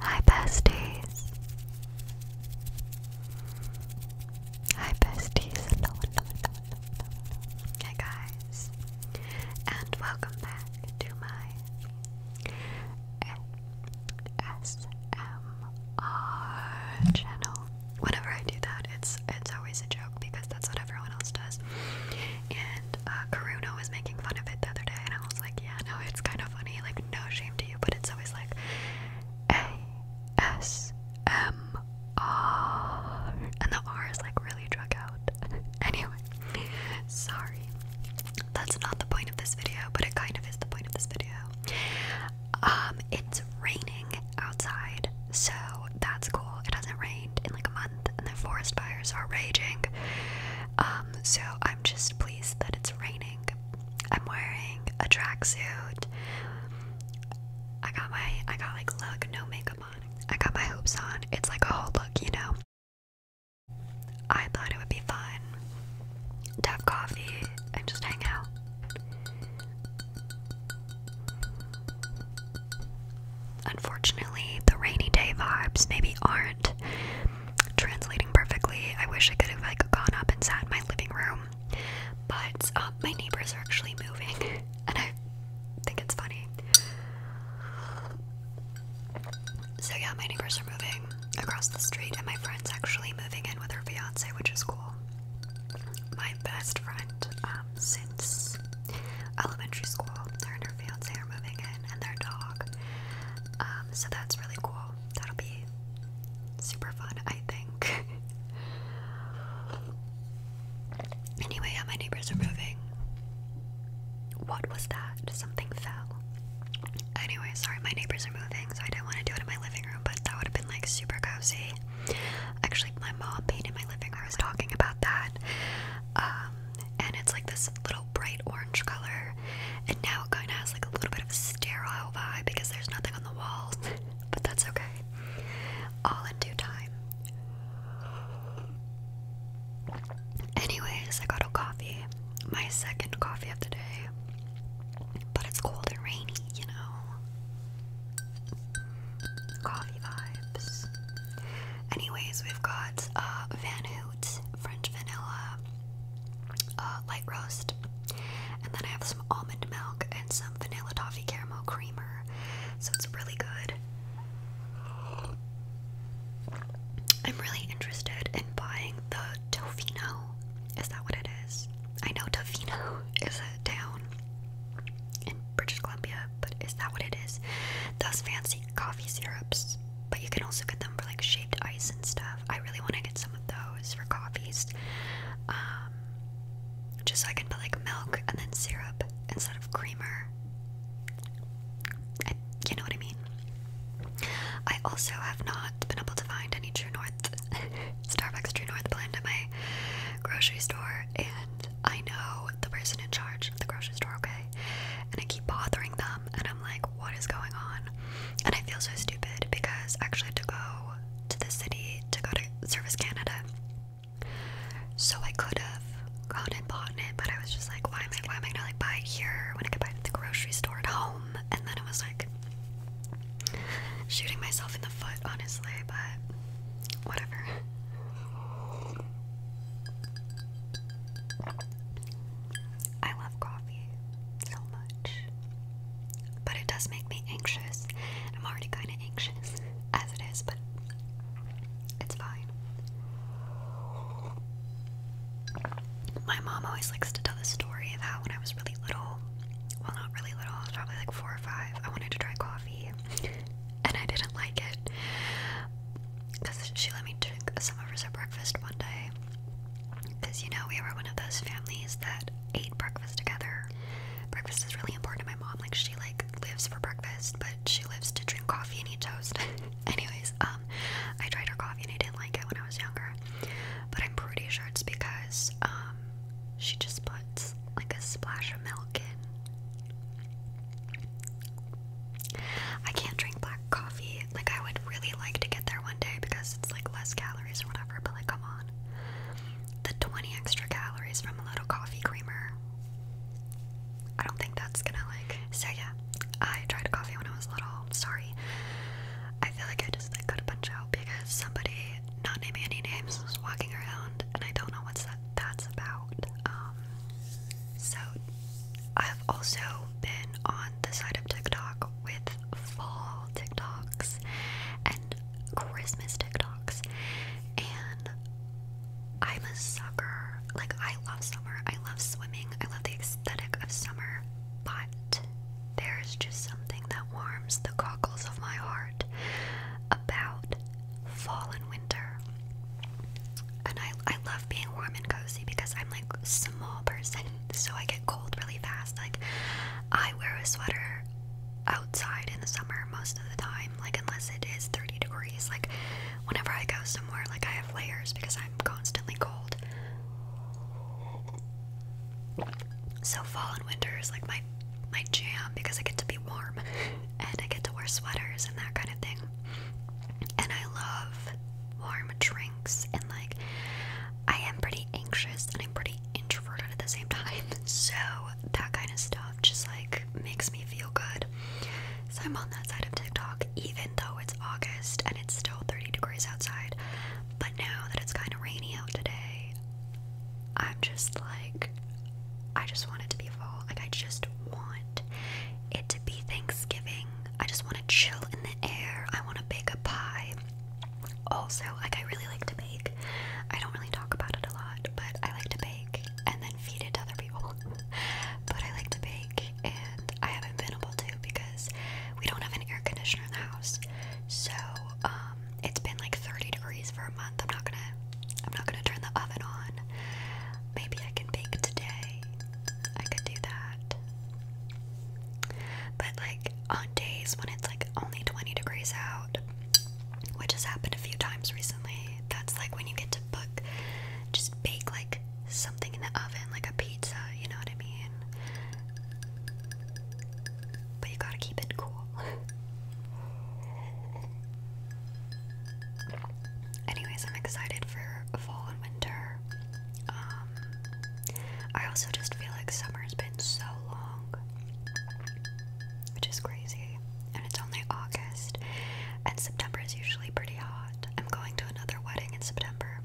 Hi, besties. Hi, besties. Hey, guys. And welcome back to my ASMR channel. Whenever I do that, it's it's always a joke because that's what everyone else does. Uh, Karuno was making fun of it the other day, and I was like, yeah, no, it's kind of funny, like, no shame to you, but it's always like A-S-M-R, and the R is like really drug out. anyway, sorry. That's not the point of this video, but it kind of is the point of this video. Um, it's raining outside, so that's cool. It hasn't rained in like a month, and the forest fires are raging. Um, so I'm just pleased that it's raining. I'm wearing a tracksuit. I got my I got like look, no makeup on. I got my hoops on. It's like a whole look, you know. I thought it would be fun to have coffee and just hang out. Unfortunately, the rainy day vibes maybe aren't translating perfectly. I wish I could have like gone up and sat in my living room, but uh, my neighbors are actually moving, and I think it's funny. So yeah, my neighbors are moving across the street, and my friend's actually moving in with her fiance, which is cool. My best friend um, since elementary school, her and her fiance are moving in and their dog. Um, so that's really cool. That'll be super fun, I think. anyway, yeah, my neighbors are moving. What was that? Something fell. Anyway, sorry, my neighbors are moving, so I didn't want to do it in my living room, but that would have been like super cozy. Actually, my mom painted my living room. I was talking about that. Um, and it's like this little bright orange color. And now it kind of has like a little bit of a sterile vibe because there's nothing on the walls, but that's okay. All in due time. Anyways, I got a coffee, my second coffee of the day, but it's cold and rainy, you know. Coffee vibes. Anyways, we've got uh, Van Hoot, French vanilla, uh, light roast, and then I have some almond milk and some vanilla toffee caramel creamer. So it's really good. I'm really interested in buying the Tofino. Is that what it is? I know Tofino is a town in British Columbia, but is that what it is? Those fancy coffee syrups, but you can also get them for like shaped ice and stuff. I really want to get some of those for coffees, um, just so I can put like milk and then syrup instead of creamer. I, you know what I mean? I also have not been able to find any True North Starbucks True North blend at my grocery store, and I know the person in charge of the grocery store, okay? And I keep bothering them, and I'm like, what is going on? And I feel so stupid because actually to go to the city to go to Service Canada. So I could have gone and bought it, but I was just like, why am I why am I going like buy it here when I could buy it at the grocery store at home? And then I was like shooting myself in the foot, honestly, but whatever. I love coffee so much. But it does make me anxious. I'm already kind of anxious as it is, but it's fine. My mom always likes to tell the story of when I was really little, well, not really little, probably like four or five, I wanted to try coffee and I didn't like it because she let me take some of hers at breakfast one day. Because you know, we were one of those families that ate breakfast together. Breakfast is really important to my mom. Like she like lives for breakfast, but she lives to drink coffee and eat toast. Anyways, um, I tried her coffee and I didn't like it when I was younger. But I'm pretty sure it's because um she just puts like a splash of milk in. I can't drink black coffee. Like I would really like to get there one day because it's like less calories or whatever, but like come on. The 20 extra calories from a little coffee creamer. I don't think that's gonna like so yeah. I tried coffee when I was little. I'm sorry. I feel like I just like got a bunch out because somebody, not naming any names, was walking around and I don't know what's that that's about. Um so, I've also been on the side of TikTok with fall TikToks and Christmas TikToks, and I'm a sucker. Like, I love summer, I love swimming, I love the aesthetic of summer, but there's just something that warms the cockles of my heart about fall and winter. And I, I love being warm and cozy because I'm like a small person, so I get cold really fast. Like, I wear a sweater outside in the summer most of the time, like, unless it is 30 degrees. Like, whenever I go somewhere, like, I have layers because I'm constantly cold. So, fall and winter is like my my jam because I get to be warm and I get to wear sweaters and that kind of thing. And I love warm drinks and like I am pretty anxious and I'm pretty introverted at the same time. So that kind of stuff just like makes me feel good. So I'm on that side of TikTok even though it's August and it's still 30 degrees outside. But now that it's kind of rainy out today, I'm just like I just want it to be fall. Like I just want it to be Thanksgiving. I just want to chill in the air. I want to bake a pie. Also, like I really like to bake. I don't really talk about it a lot, but I like to bake and then feed it to other people. but I like to bake and I haven't been able to because we don't have an air conditioner in the house. So, um, it's been like 30 degrees for a month. I'm not gonna I'm not gonna turn the oven on. Maybe I can bake today. I could do that. But like on days when it's like only 20 degrees out, which has happened a few times recently, that's like when you get to book just bake like something in the oven, like a pizza, you know what I mean? But you gotta keep it cool. Anyways, I'm excited for fall and winter. Um, I also just feel like summer's been so long, which is crazy. And it's only August, and September is usually pretty hot. I'm going to another wedding in September,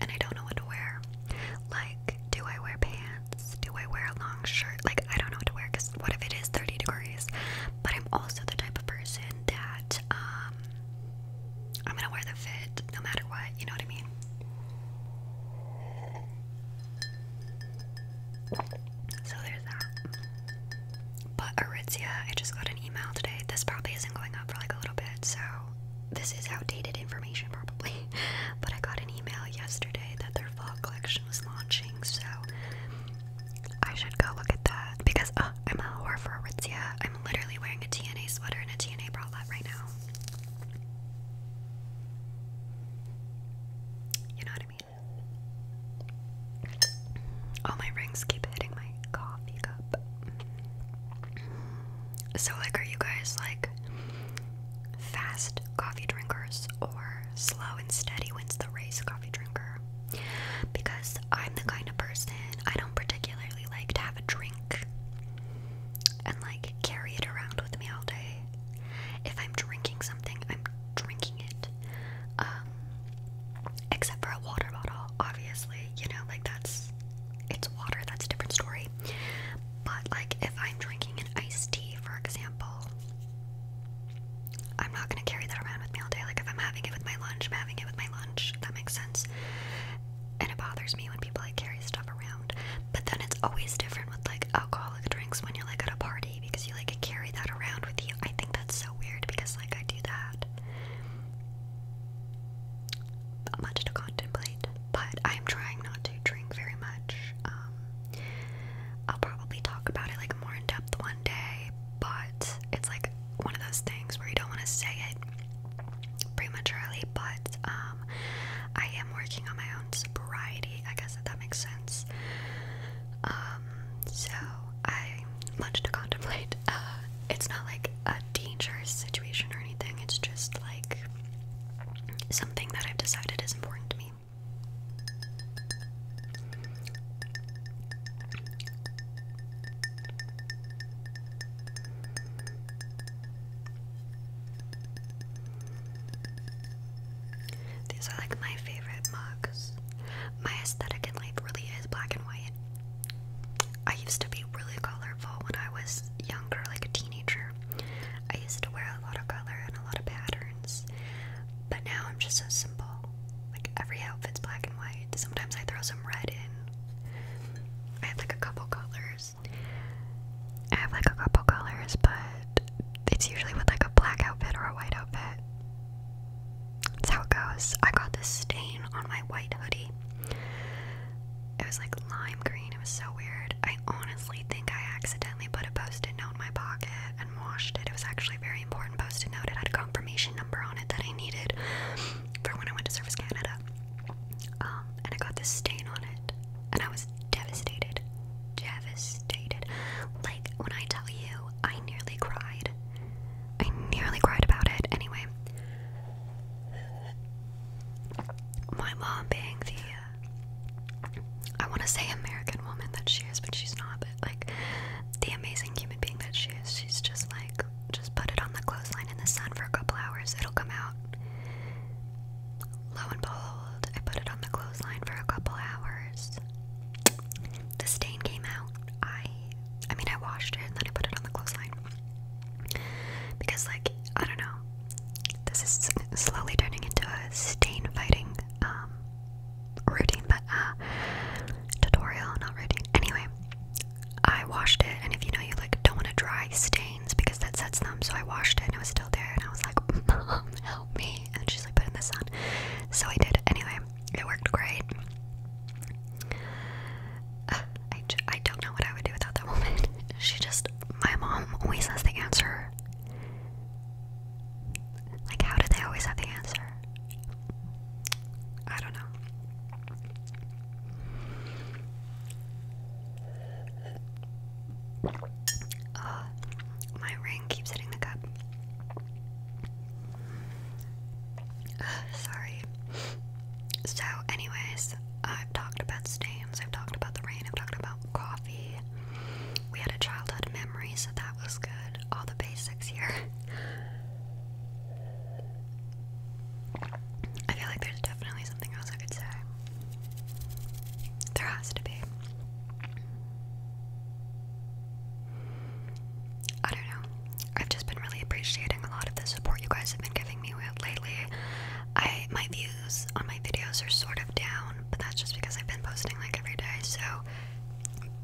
and I don't know what to wear. Like, do I wear pants? Do I wear a long shirt? Like, I don't know what to wear because what if it is 30 degrees? But I'm also the type of person that um I'm gonna wear the fit no matter what, you know what I mean? So there's that. But Aritzia, I just got an email today. This probably isn't going up for like a little bit, so this is outdated information probably. But I got an email yesterday that their fall collection was launching, so I should go look at that because uh, I'm a horror for Aritzia. I'm literally wearing a TNA sweater and a TNA bralette right now. You know what I mean? All my rings keep hitting my coffee cup. So, like, are you guys like fast coffee drinkers? or slow and steady wins the race coffee drinker. Because I'm the kind of person I don't particularly like to have a drink and like carry it around with me all day. If I'm drinking something, I'm drinking it. Um, except for a water bottle, obviously, you know, like that's it's water, that's a different story. But like if I'm drinking an iced tea, for example, I'm not gonna carry that around with me all day. Like if I'm having it with my lunch, I'm having it with my lunch. That makes sense. And it bothers me when people like carry stuff around. But then it's always different with like alcoholic drinks when you're like at a party because you like carry that around with you. I think that's so weird because like I do that. much to contemplate, but I'm trying not to drink very much. Um, I'll probably talk about it like more in depth one day, but it's like one of those things where you don't want to say it prematurely, but um, I am working on my own sobriety, I guess if that makes sense. Um, so I wanted to contemplate. Uh, it's not like a dangerous situation or anything, it's just like something that I've decided is important to me. These are like my favorite mugs. My aesthetic in life really is black and white. I used to be really colorful when I was younger, like a teenager. I used to wear a lot of color and a lot of pattern. But now I'm just so simple. Like every outfit's black and white. Sometimes I throw some red in. I have like a couple colors. I have like a couple colors, but it's usually with like a black outfit or a white outfit. That's how it goes. I got this stain on my white hoodie. It was like lime green. It was so weird. I honestly think I accidentally put a post-it note in my pocket, washed it. It was actually very important post-it note. It had a confirmation number on it that I needed for when I went to Service Canada. Um, and I got this stain on it, and I was devastated. Devastated. Like, when I tell you, I nearly cried. I nearly cried about it. Anyway, my mom being the uh, I want to say American woman that she is, but she's not. But like the amazing human being that she is, she's just like, just put it on the clothesline in the sun for a couple hours, it'll come out. Lo and behold, I put it on the clothesline for a couple hours. The stain came out. I, I mean, I washed it and then I put it on the clothesline because, like, I don't know. This is slowly turning into a stain fighting um, routine, but uh, tutorial, not routine. Anyway, I washed it, and if you know, you like don't want to dry stains because that sets them. So I washed it, and it was still there, and I was like, "Mom, help me!" And she's like, "Put in the sun." So I did. Anyway, it worked great. I, I don't know what I would do without that woman. She just, my mom always has the answer like, how do they always have the answer? I don't know. Uh, my ring keeps hitting the cup. sorry. So, anyways, I've talked about stains, I've talked about the rain, I've talked about coffee. We had a childhood memory, so that was good. All the basics here. I feel like there's definitely something else I could say. There has to be. I don't know. I've just been really appreciating a lot of the support you guys have been giving me with lately. I my views on my videos are sort of down, but that's just because I've been posting like every day. So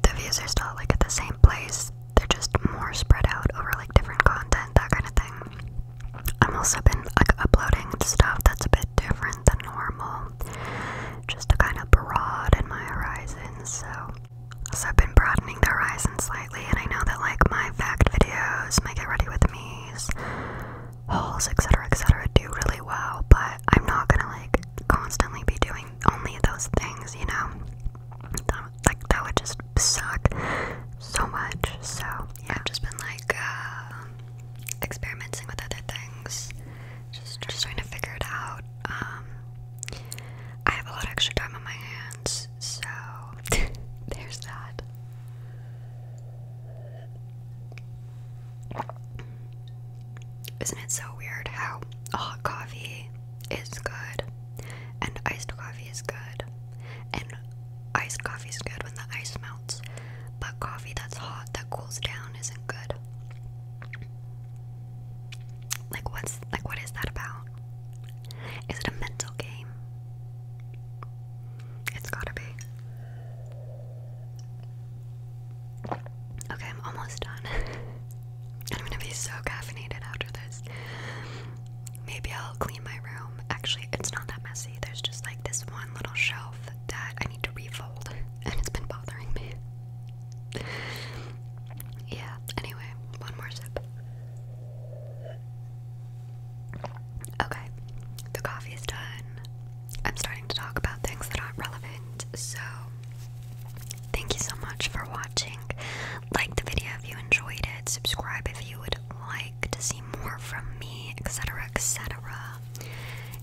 the views are still like at the same place, they're just more spread out over like different content, that kind of thing. I'm also been like uploading stuff that's a bit different than normal, just a kind of broad in my horizons. So, so I've been broadening the horizon slightly, and I know that like my fact videos, might get ready with me's, hauls, etc., etc., do really well, but I'm not gonna like constantly be doing only those things, you know? That, like, that would just suck so much. So, yeah, I've just been like uh, experimenting with other things, just, just trying to figure it out. Um, I have a lot of extra time on my hands, so there's that. Isn't it so weird how hot coffee is good and iced coffee is good and iced coffee is good when the ice melts, but coffee that's hot that cools down isn't good. Like what's like what is that about? Is it a mental game? It's gotta be. Okay, I'm almost done. I'm gonna be so caffeinated after this. Maybe I'll clean my room. Actually, it's not that messy. There's just like this one little shelf that I need to refold, and it's been bothering me. yeah, anyway, one more sip. Okay, the coffee is done. I'm starting to talk about things that aren't relevant. So, thank you so much for watching. Like the video if you enjoyed it, subscribe if you would like to see more from me, etc., etc.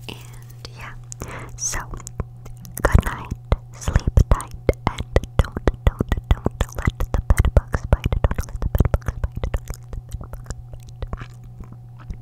And yeah, so good night, sleep tight, and don't, don't, don't let the bed bugs bite. Don't let the bed bugs bite. Don't let the bed bugs bite.